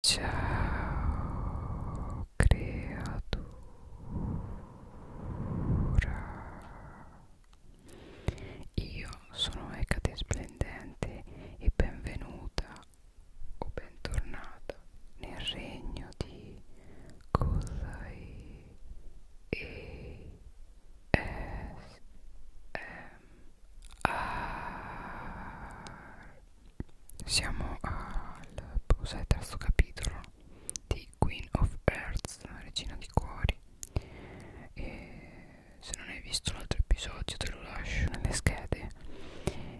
Ciao creatura Io sono Ecate Splendente e benvenuta o bentornata nel regno di Kozai e S M R siamo al cos'è, terzo capitolo di Queen of Hearts, regina di cuori e se non hai visto l'altro episodio te lo lascio nelle schede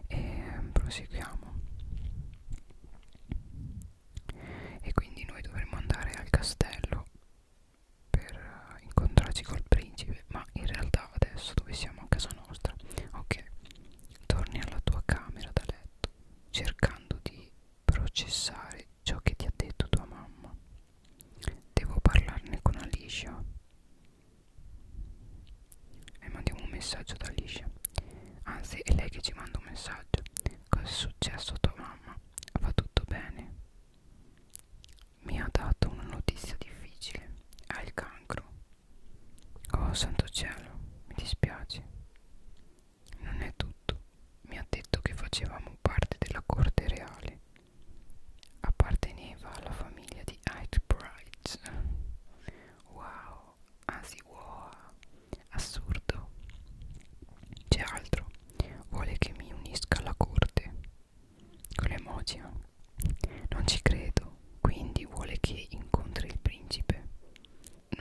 e proseguiamo e quindi noi dovremo andare al castello per incontrarci col principe ma in realtà adesso dove siamo a casa nostra ok torni alla tua camera da letto cercando di processare ciò che ti ha detto tua mamma devo parlarne con Alicia e mandiamo un messaggio ad Alicia anzi è lei che ci manda un messaggio cosa è successo a tua mamma va tutto bene mi ha dato una notizia difficile ha il cancro Oh santo cielo, mi dispiace. Non è tutto. Mi ha detto che facevamo parte della corte reale. Apparteneva alla famiglia di Hyde Bright. Wow, anzi wow, assurdo. C'è altro. Vuole che mi unisca alla corte. Con le emoji anche. Non ci credo, quindi vuole che incontri il principe.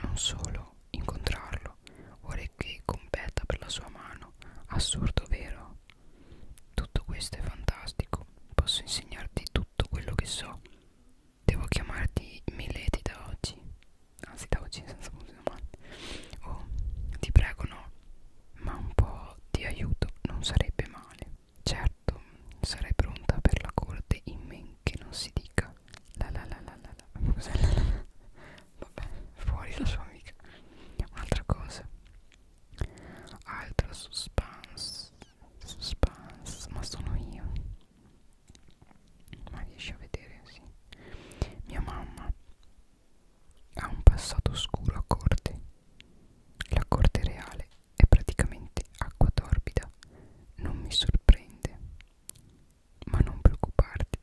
Non solo incontrarlo, vuole che competa per la sua mano. Assurdo, vero? Tutto questo è fantastico. Posso insegnarti tutto quello che so. Devo chiamarti Milady da oggi. Anzi, da oggi senza punto domande. Oh, ti prego no. Ma un po' di aiuto non sarebbe male. Certo, sarei pronta per la corte in men che non si dica la la la la la la Cos'è la la la? Vabbè, fuori la sua amica Un'altra cosa Altro suspense Suspense, ma sono io Ma riesci a vedere, sì Mia mamma ha un passato oscuro a corte la corte reale è praticamente acqua torbida, non mi sorprende. Ma non preoccuparti,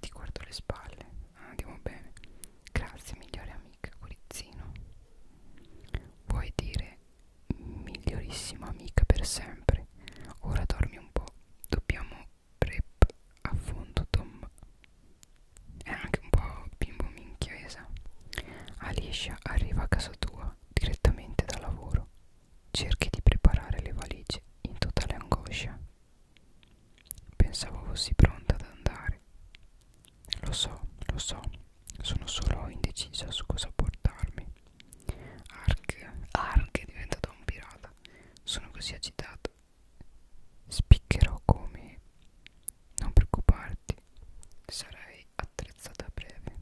ti guardo le spalle, andiamo bene. Grazie migliore amica Corizzino. Vuoi dire migliorissima amica per sempre? Ora dormi un po', dobbiamo prep a fondo Tom. È anche un po' bimbo minchiesa. Alicia arriva a casa tua direttamente da lavoro. Cerchi di preparare le valigie in totale angoscia. Pensavo fossi pronta ad andare. Lo so, lo so, sono solo indecisa su cosa portarmi. Ark, Ark è diventata un pirata. Sono così agitata. Spiccherò come. Non preoccuparti, sarai attrezzata a breve.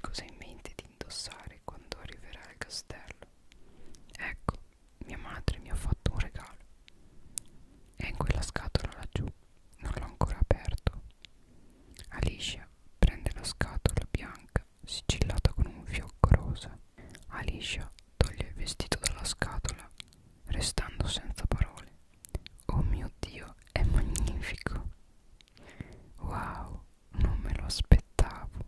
Cosa hai in mente di indossare quando arriverai al castello? Ecco, mia madre mi ha fatto un regalo. È in quella scatola laggiù, non l'ho ancora aperto. Alicia prende la scatola bianca sigillata con un fiocco rosa. Alicia toglie il vestito dalla scatola, restando senza parole. Oh mio Dio, è magnifico! Wow, non me lo aspettavo.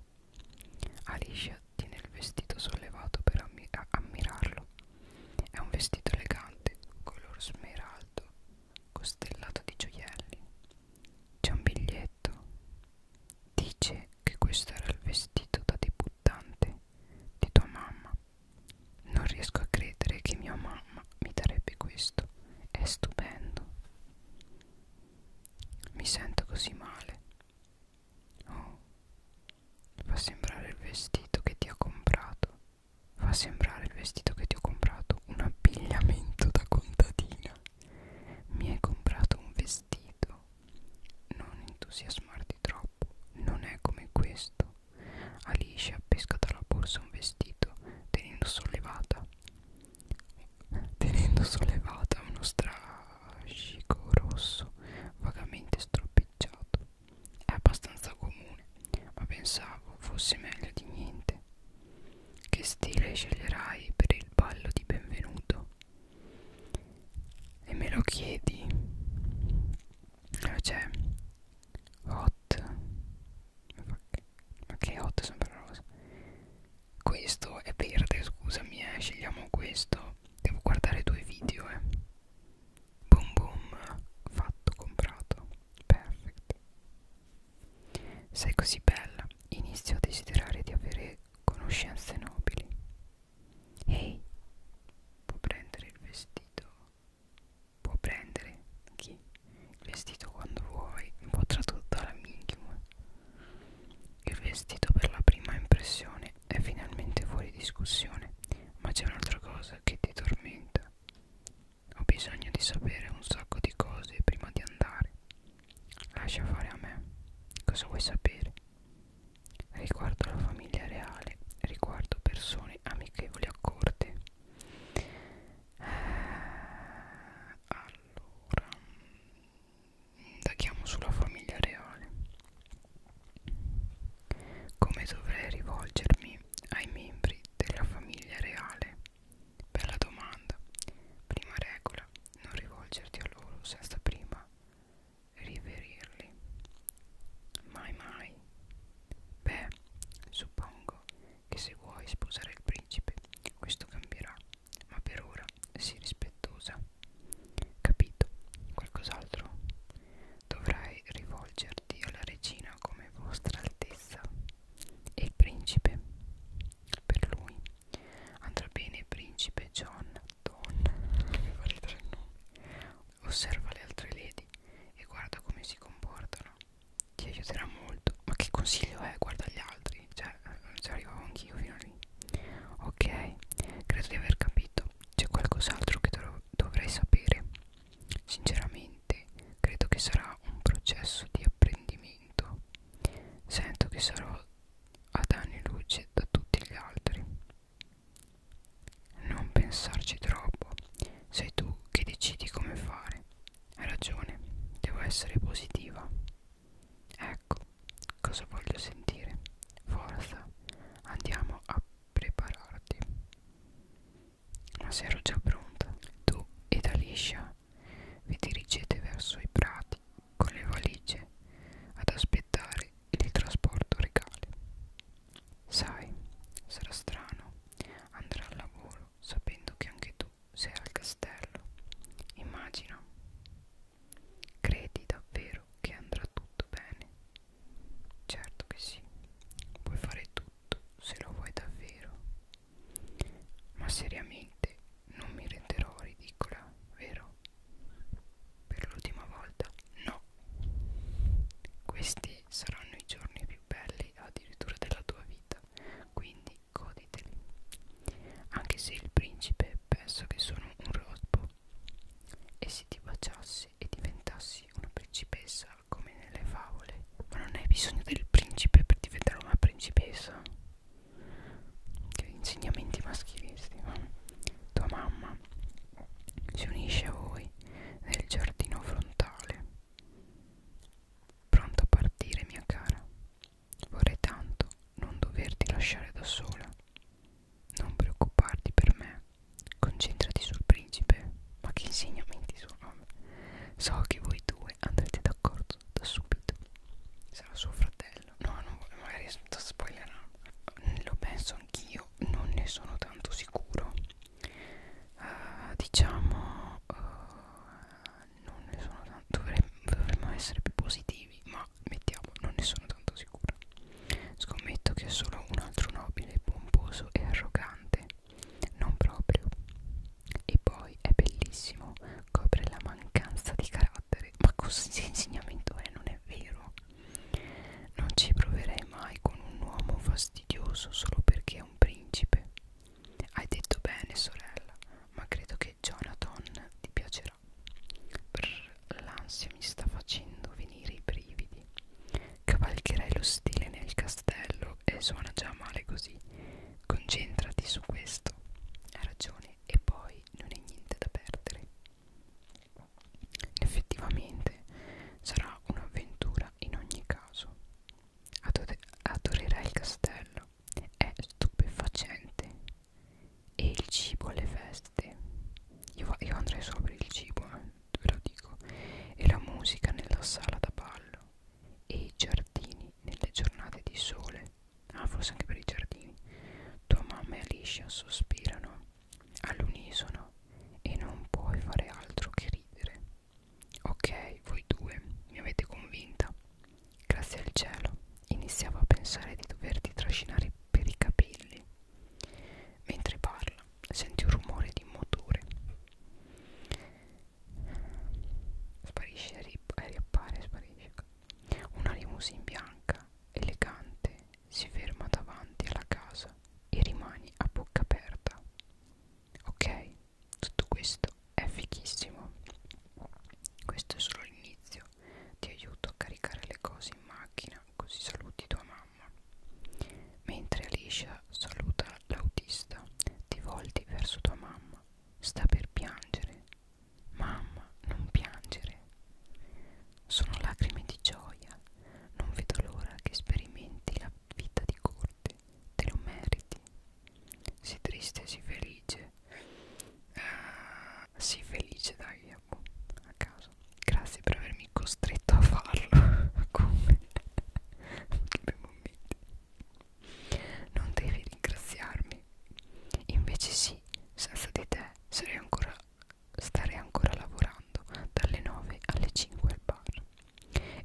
Alicia tiene il vestito sollevato per ammi ammirarlo. È un vestito elegante, color smeraldo, costellato di gioielli. C'è un biglietto. Dice che questo era il vestito da debuttante di tua mamma. Non riesco a credere che mia mamma mi darebbe questo. È stupendo. Mi sento così male. Oh, fa sembrare il vestito che ti ho comprato. Fa sembrare il vestito che ti ho comprato un abbigliamento da contadina. Mi hai comprato un vestito. Non entusiasmarti troppo. Non è come questo. Alice appesca dalla borsa un vestito tenendo sollevata tenendo sollevata uno strascico rosso vagamente stropicciato è abbastanza comune ma pensavo fosse meglio di niente che stile sceglierai per il ballo di benvenuto e me lo chiedi cioè hot ma che hot sembra rosa questo è verde scusami eh scegliamo questo devo guardare due video eh boom boom fatto comprato perfect sei così bella inizio a desiderare di avere conoscenze nobili ehi hey, può prendere il vestito può prendere chi? il vestito quando vuoi incontra tutta la minchium il vestito per la prima impressione è finalmente fuori discussione ma c'è un'altra cosa che ti tormenta ho bisogno di sapere un sacco di cose prima di andare lascia fare a me cosa vuoi sapere riguardo alla famiglia reale riguardo persone amichevoli a corte allora indaghiamo sulla famiglia reale come dovrei rivolgermi ai membri della famiglia reale? bella domanda prima regola non rivolgerti a loro senza prima riverirli mai mai beh suppongo che se vuoi sposare il principe questo cambierà ma per ora sii rispettosa capito qualcos'altro dovrai rivolgerti alla regina come vostra altezza e il principe per lui andrà bene il principe John Don mi fa ridere il nome osserva le altre lady e guarda come si comportano ti aiuterà molto ma che consiglio è guarda gli altri cioè ci eh, arrivavo anch'io fino a lì ok credo di aver capito c'è qualcos'altro che dov dovrei sapere sinceramente credo che sarà un processo di apprendimento sento che sarò ad anni luce da tutti gli altri non pensarci troppo sei tu che decidi come fare hai ragione, devo essere positiva. Ecco, cosa voglio sentire? Forza, andiamo a prepararti. Ma se ero già pronta, tu ed Alicia vi dirigete verso i prati con le valigie ad aspettare il trasporto regale. Sai, sarà strano andare al lavoro sapendo che anche tu sei al castello. Immagina. Credi davvero che andrà tutto bene? Certo che sì. Puoi fare tutto se lo vuoi davvero. Ma seriamente non mi renderò ridicola, vero? Per l'ultima volta no. Questi saranno i giorni più belli addirittura della tua vita vita, quindi goditeli. Anche se il principe pensa che sono un rospo, e se ti baciassi e diventassi una principessa come nelle favole, ma non hai bisogno del principe per diventare una principessa. Che insegnamenti maschilisti, ma tua mamma si unisce a voi nel giardino frontale Pronto a partire, mia cara. Vorrei tanto non doverti lasciare da sola. Non preoccuparti per me. Concentrati sul principe. Ma che insegnamenti sono? So che voi due andrete d'accordo da subito. Sarà suo fratello. No, no, magari sto spoilerando. Lo penso anch'io, non ne sono tanto sicuro uh, diciamo uh, non ne sono tanto dovremmo, dovremmo essere più positivi ma mettiamo non ne sono tanto sicura scommetto che è solo un altro nobile pomposo e arrogante non proprio e poi è bellissimo copre la mancanza di carattere ma così insegnamento è non è vero non ci proverei mai con un uomo fastidioso solo perché è un principe hai detto bene, sorella, ma credo che Jonathan ti piacerà. Brr, l'ansia mi sta facendo venire i brividi. Cavalcherai lo stile nel castello e suona già male così. Concentrati su questo. Hai ragione, e poi non è niente da perdere. Effettivamente sarà un'avventura in ogni caso. Adore adorerà il castello, è stupefacente e il cibo alle feste. Io, io andrei solo per il cibo, eh, ve lo dico. E la musica nella sala da ballo e i giardini nelle giornate di sole. Ah, forse anche per i giardini. Tua mamma e Alicia sospirano all'unisono e non puoi fare altro che ridere. Ok, voi due mi avete convinta. Grazie al cielo, iniziavo a pensare di doverti trascinare per i capelli. Mentre parla, senti un rumore di motore. Sparisce e riappare, sparisce. Una limousine bianca, elegante, si ferma davanti alla casa e rimani a bocca aperta. Ok, tutto questo è fichissimo questo è solo l'inizio ti aiuto a caricare le cose in macchina così saluti tua mamma mentre Alicia saluta l'autista ti volti verso tua mamma sta per piangere mamma non piangere sono lacrime di gioia non vedo l'ora che sperimenti la vita di corte te lo meriti sii triste, sii felice uh, sii felice dai a caso grazie per avermi costretto a farlo come non devi ringraziarmi invece sì senza di te sarei ancora starei ancora lavorando dalle 9 alle 5 al bar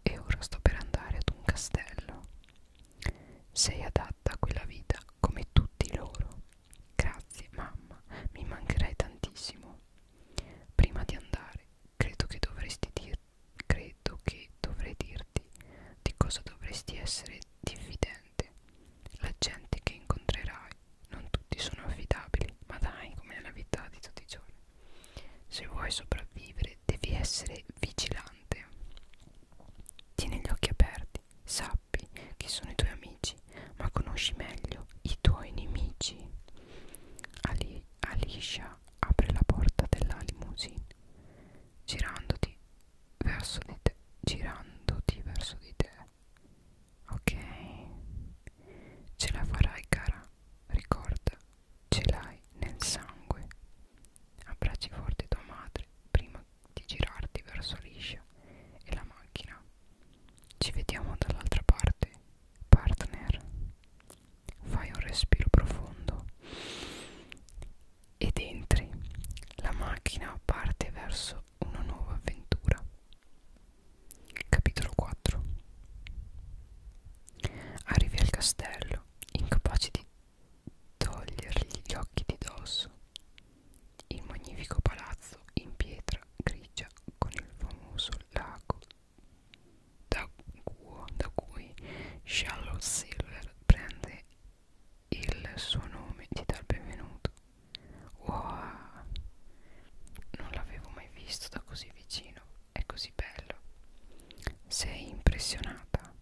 e ora sto per andare ad un castello. Sei adatta a quella vita come tutti loro. Grazie, mamma, mi mancherai tantissimo. Prima di andare, credo che dovresti dir credo che dovrei dirti di cosa dovresti essere diffidente. La gente che incontrerai, non tutti sono affidabili, ma dai, come nella vita di tutti i giorni. Se vuoi sopravvivere eh, devi essere vigilante. Tieni gli occhi aperti, sappi chi sono i tuoi amici, ma conosci meglio i tuoi nemici. Ali, Alicia apre la porta della limousine, girandoti verso di te, girandoti verso di te. Ok, ce la farai cara, ricorda ce l'hai nel sangue. Abbracci forte tua madre prima di girarti verso l'iscia e la macchina. Ci vediamo dall'altra parte, partner. Fai un respiro profondo ed entri. La macchina parte verso una nuova avventura. Capitolo 4 Arrivi al castello, incapace di togliergli gli occhi di dosso. Il magnifico palazzo in pietra grigia con il famoso lago da, cuo, da cui Shallow Silver prende il suo nome ti dà il benvenuto. Wow! Non l'avevo mai visto da così vicino, è così bello. Sei impressionata? realtà.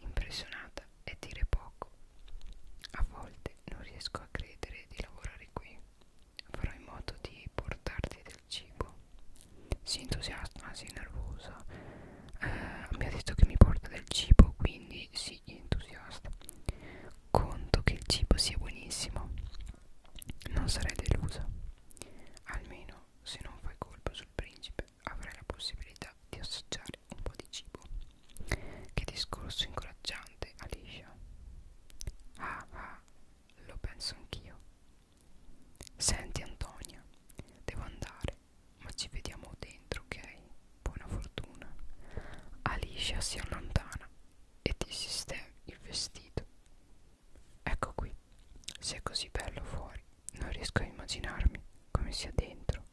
Impressionata è dire poco. A volte non riesco a credere di lavorare qui. Farò in modo di portarti del cibo. Si entusiasma, si nervosa. Eh, mi ha detto che mi porta del cibo, quindi si entusiasta. Conto che il cibo sia buonissimo. Non sarei delusa. Almeno se non fai colpa sul principe avrai la possibilità di assaggiare un po' di cibo. Che discorso incoraggiante, Alicia. Ah, ah, lo penso anch'io. Senti, Antonia, devo andare, ma ci vediamo dentro, ok? Buona fortuna. Alicia si allontana e ti sistema il vestito. Ecco qui, se è così bello fuori, non riesco a immaginarmi come sia dentro.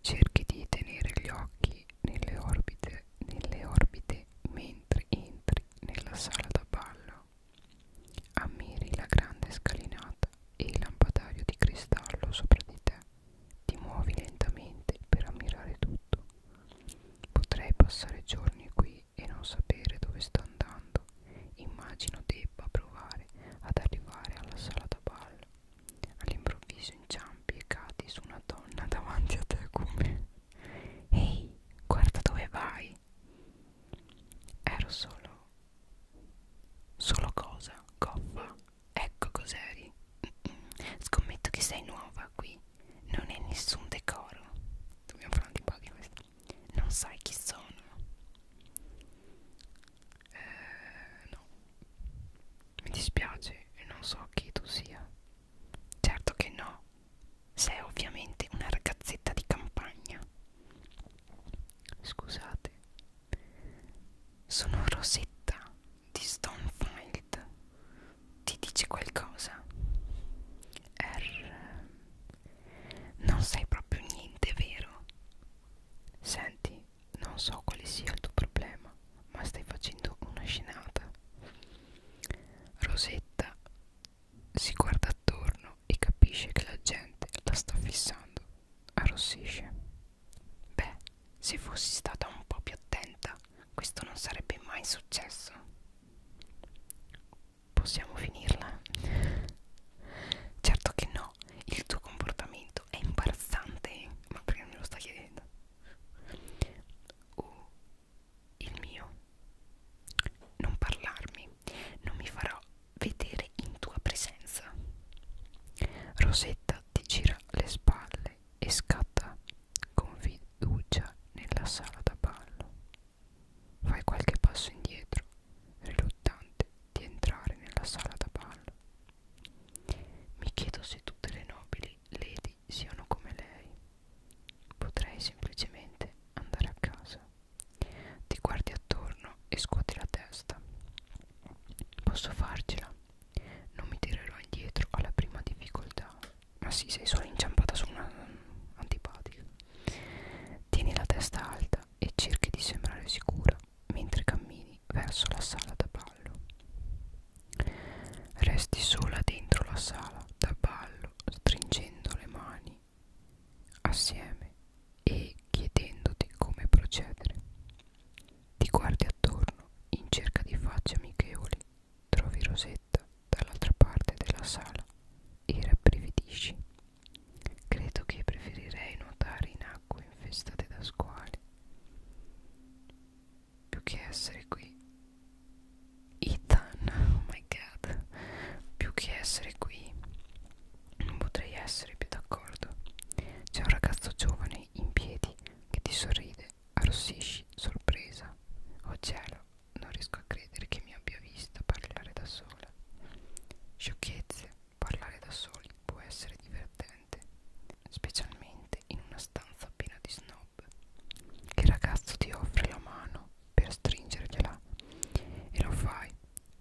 Cerchi di tenere gli occhi nelle orbite, nelle orbite mentre entri nella sala da ballo. Ammiri la grande scalinata e il lampadario di cristallo sopra di te. Ti muovi lentamente per ammirare tutto. Potrei passare giorni qui e non sapere dove sto andando. Immagino debba provare ad arrivare alla sala da ballo. All'improvviso inciampi e cadi su una donna davanti a te come Ehi, guarda dove vai! Ero solo... Solo cosa? Coppa? Ecco cos'eri. Scommetto che sei nuova qui. Non è nessun decoro. Dobbiamo fare un di questo. Non sai chi sono. Eh, no, mi dispiace, non so chi tu sia. Certo che no, sei ovviamente una ragazzetta di campagna. Scusate, sono Rosetta di Stonefield. Ti dice qualcosa? R. Non sai proprio niente, vero? Senti, non so quale sia il tuo problema, ma stai facendo una scenata. Rosetta si guarda attorno e capisce che la gente la sta fissando. Arrossisce. Beh, se fossi stata un po' più attenta, questo non sarebbe mai successo. Possiamo finirla? Certo che no, no, il tuo comportamento è imbarazzante, ma perché me lo sta chiedendo? O oh, il mio, non parlarmi, non mi farò vedere in tua presenza. Rosetta ti gira le spalle e scatta con fiducia nella sala da ballo. Fai qualche passo indietro riluttante, di entrare nella sala da ballo. Mi chiedo se tutte le nobili lady siano come lei. Potrei semplicemente andare a casa. Ti guardi attorno e scuoti la testa. Posso farcela. Non mi tirerò indietro alla prima difficoltà. Ma sì, sei solo inciampata su una mm, antipatica. Tieni la testa alta e cerchi di sembrare sicura mentre cammini verso la sala da ballo. Resti sola dentro la sala da ballo, stringendo le mani assieme e chiedendoti come procedere. Ti guardi attorno in cerca di facce amichevoli, trovi Rosetta dall'altra parte della sala e rabbrividisci Credo che preferirei nuotare in acque infestate da squali più che essere qui. Ethan, oh my god, più che essere qui non potrei essere più d'accordo. C'è un ragazzo giovane in piedi che ti sorride, arrossisci, sorpresa. Oh cielo, non riesco a credere che mi abbia vista parlare da sola. Sciocchezze, Parlare da soli può essere divertente, specialmente in una stanza piena di snob. Il ragazzo ti offre la mano per stringergliela e lo fai,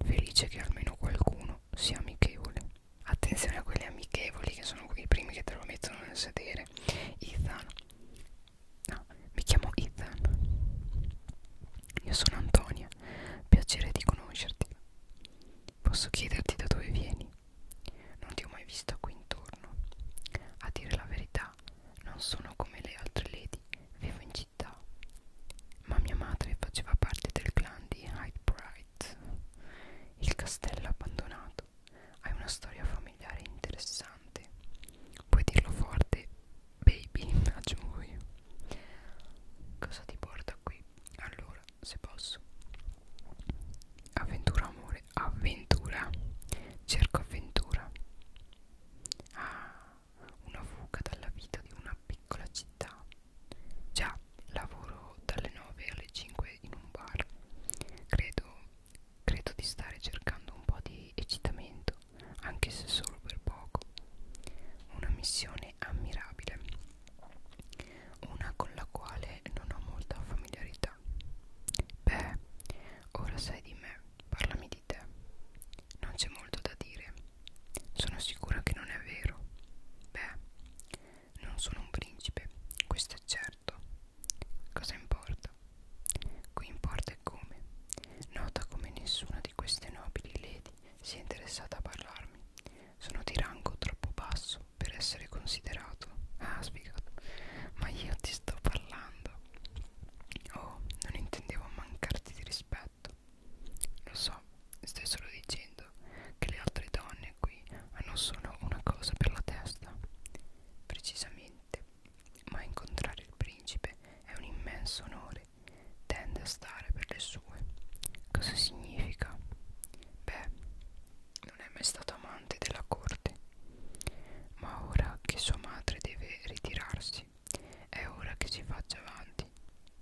felice che almeno qualcuno sia amichevole. Attenzione a quelli amichevoli che sono i primi che te lo mettono nel sedere. Ethan, no, mi chiamo Ethan. Io sono Antonia, piacere di conoscerti. Posso chiederti da dove vieni? Non ti ho mai vista qui intorno. A dire la verità, non sono come le altre lady, vivo in città. Ma mia madre faceva parte del clan di Hyde Bright, il castello abbandonato. Hai una storia familiare interessante. Puoi dirlo forte, baby, aggiungo io. Cosa ti porta qui? Allora, se posso avventura amore avventura cerco avventura ah, una fuga dalla vita di una piccola città già lavoro dalle 9 alle 5 in un bar credo credo di stare cercando un po' di eccitamento anche se solo per poco una missione ammirabile una con la quale non ho molta familiarità. Beh, ora sai di me, parlami di te. Non c'è molto da dire. Sono sicura che non è vero. Beh, non sono un principe, questo è certo. Cosa importa? Qui importa è come. Nota come nessuna di queste nobili lady si è interessata a parlarmi. Sono di rango troppo basso per essere considerato. Ah, spiegato. Ma io ti sto parlando. Oh, non intendevo mancarti di rispetto. Lo so, stai solo dicendo che le altre donne qui hanno solo una cosa per la testa. Precisamente. Ma incontrare il principe è un immenso onore tende a stare per le sue. Cosa significa? Beh, non è mai stato amante della corte, ma ora che sua madre deve ritirarsi, è ora che si faccia avanti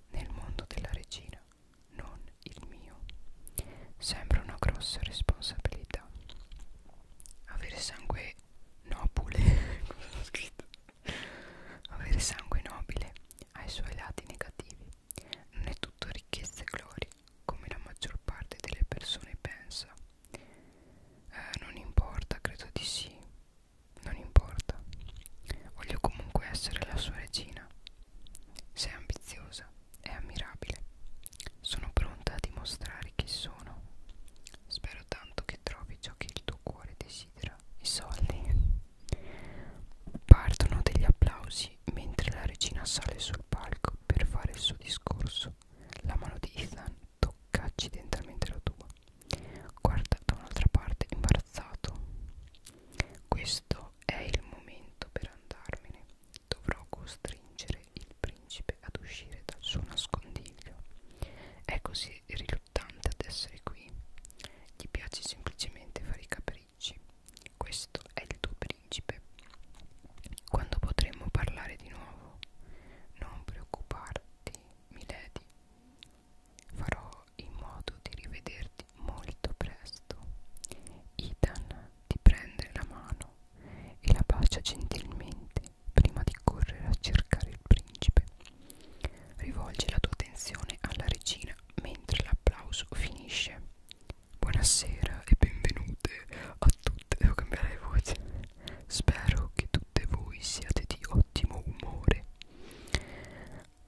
nel mondo della regina, non il mio. Sembra una grossa responsabilità. Avere sangue nobile, come ho scritto, avere sangue nobile ha i suoi lati negativi. Non è tutto ricchezza e gloria, come la maggior parte delle persone pensa. Eh, non importa, credo di sì. Non importa. Voglio comunque essere la sua regina. Sei ambiziosa, è ammirabile. Sono pronta a dimostrare chi sono. Spero tanto che trovi ciò che il tuo cuore desidera. I soldi. Partono degli applausi mentre la regina sale sul palco per fare il suo discorso. La mano di Ethan tocca accidentalmente la tua. Guarda da un'altra parte imbarazzato. Questo è il momento per andarmene. Dovrò costringere il principe ad uscire dal suo nascondiglio. È così riluttante ad essere qui. Gli piace semplicemente fare i capelli ricci. Questo è il tuo principe. Quando potremo parlare di nuovo? Non preoccuparti, milady. Farò in modo di rivederti molto presto. Ethan ti prende la mano e la bacia gentilmente prima di correre a cercare il principe. Rivolge la tua attenzione alla regina Martina mentre l'applauso finisce. Buonasera e benvenute a tutte. Devo cambiare voce. Spero che tutte voi siate di ottimo umore.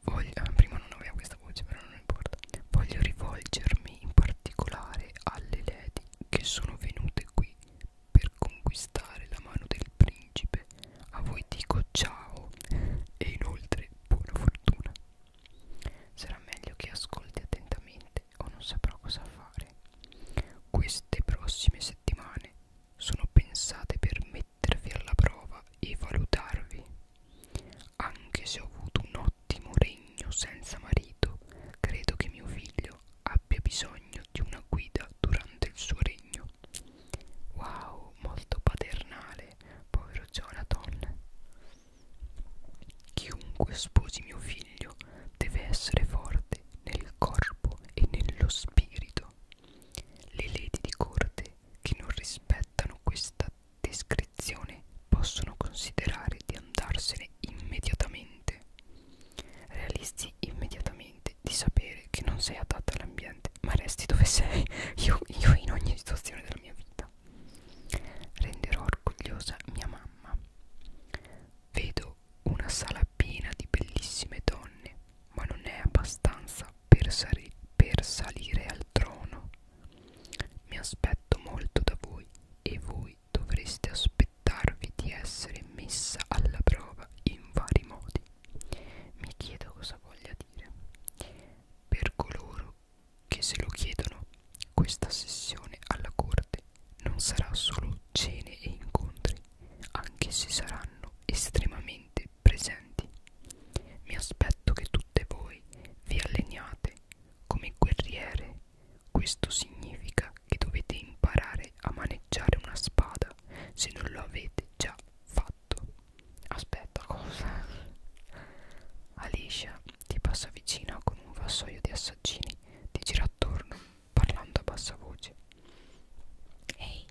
Voglio, ah, prima non avevo questa voce, però non importa. Voglio rivolgermi in particolare alle lady che sono venute qui per conquistare la mano del principe. A voi dico ciao e inoltre buona fortuna. Sarà meglio che ascolti attentamente o non saprò cosa fare. Queste prossime settimane sono pensate per mettervi alla prova e valutarvi. Anche se ho avuto un ottimo regno senza marito, credo che mio figlio abbia bisogno di una guida durante il suo regno. Wow, molto paternale povero Jonathan. Chiunque sposi mio figlio deve essere forte nel corpo e nello spirito. Le lady di corte che non rispettano questa descrizione possono considerare di andarsene immediatamente. Realisti immediatamente di sapere che non sei adatta all'ambiente, ma resti dove sei. Io, io in ogni situazione della mia vita vita. Renderò orgogliosa mia mamma. Vedo una sala piena di bellissime donne, ma non è abbastanza per, sali per salire al trono. Mi aspetto molto da voi e voi dovreste aspettarvi di essere messa alla prova in vari modi. Mi chiedo cosa voglia dire. Per coloro che se lo chiedono questa sessione alla corte non sarà solo cene e incontri, anche se saranno estremamente presenti. Mi aspetto che tutte voi vi alleniate come guerriere. Questo significa che dovete imparare a maneggiare una spada se non lo avete già fatto fatto aspetta cosa Alicia ti passa vicino con un vassoio di assaggini ti gira attorno parlando a bassa voce ehi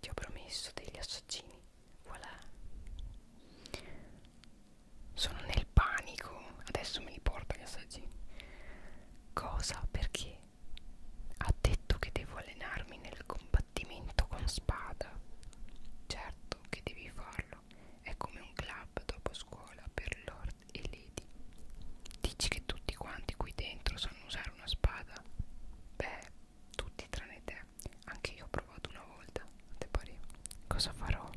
ti ho promesso degli assaggini voilà sono nel panico adesso me li porta gli assaggini cosa perché ha detto che devo allenarmi nel combattimento combattimento con spada. Certo che devi farlo, è come un club dopo scuola per lord e lady. Dici che tutti quanti qui dentro sanno usare una spada? Beh, tutti tranne te. Anche io ho provato una volta. Te pare? Cosa farò?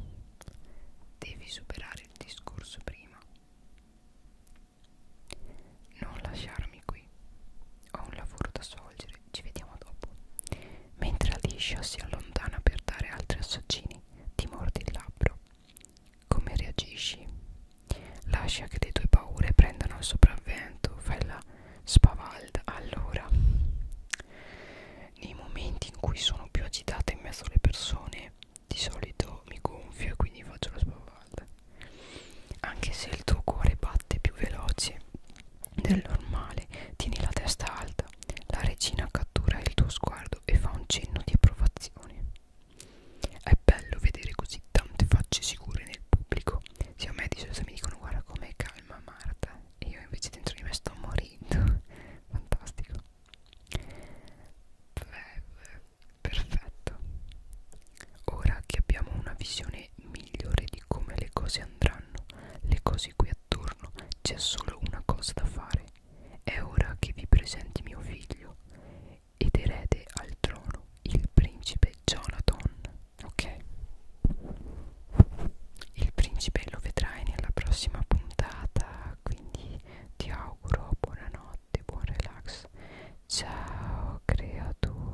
Devi superare il discorso prima. Non lasciarmi qui. Ho un lavoro da svolgere ci vediamo dopo. Mentre Alicia si allontana per dare altri assaggini, ti mordi il labbro. Come reagisci? Lascia che le tue paure prendano il sopravvento, fai la spavalda. Allora, nei momenti in cui sono più agitata in mezzo alle persone, di solito mi gonfio e quindi faccio la spavalda. Anche se il tuo cuore batte più veloce, del normale tieni la testa alta la regina cattura il tuo sguardo e fa un cenno di approvazione è bello vedere così tante facce sicure nel pubblico sia a me di solito mi dicono guarda com'è calma Marta e io invece dentro di me sto morendo fantastico Beh, perfetto ora che abbiamo una visione migliore di come le cose andranno le cose qui attorno c'è solo una cosa da fare è ora che vi presenti mio figlio ed erede al trono il principe Jonathan ok il principe lo vedrai nella prossima puntata quindi ti auguro buonanotte buon relax ciao creatura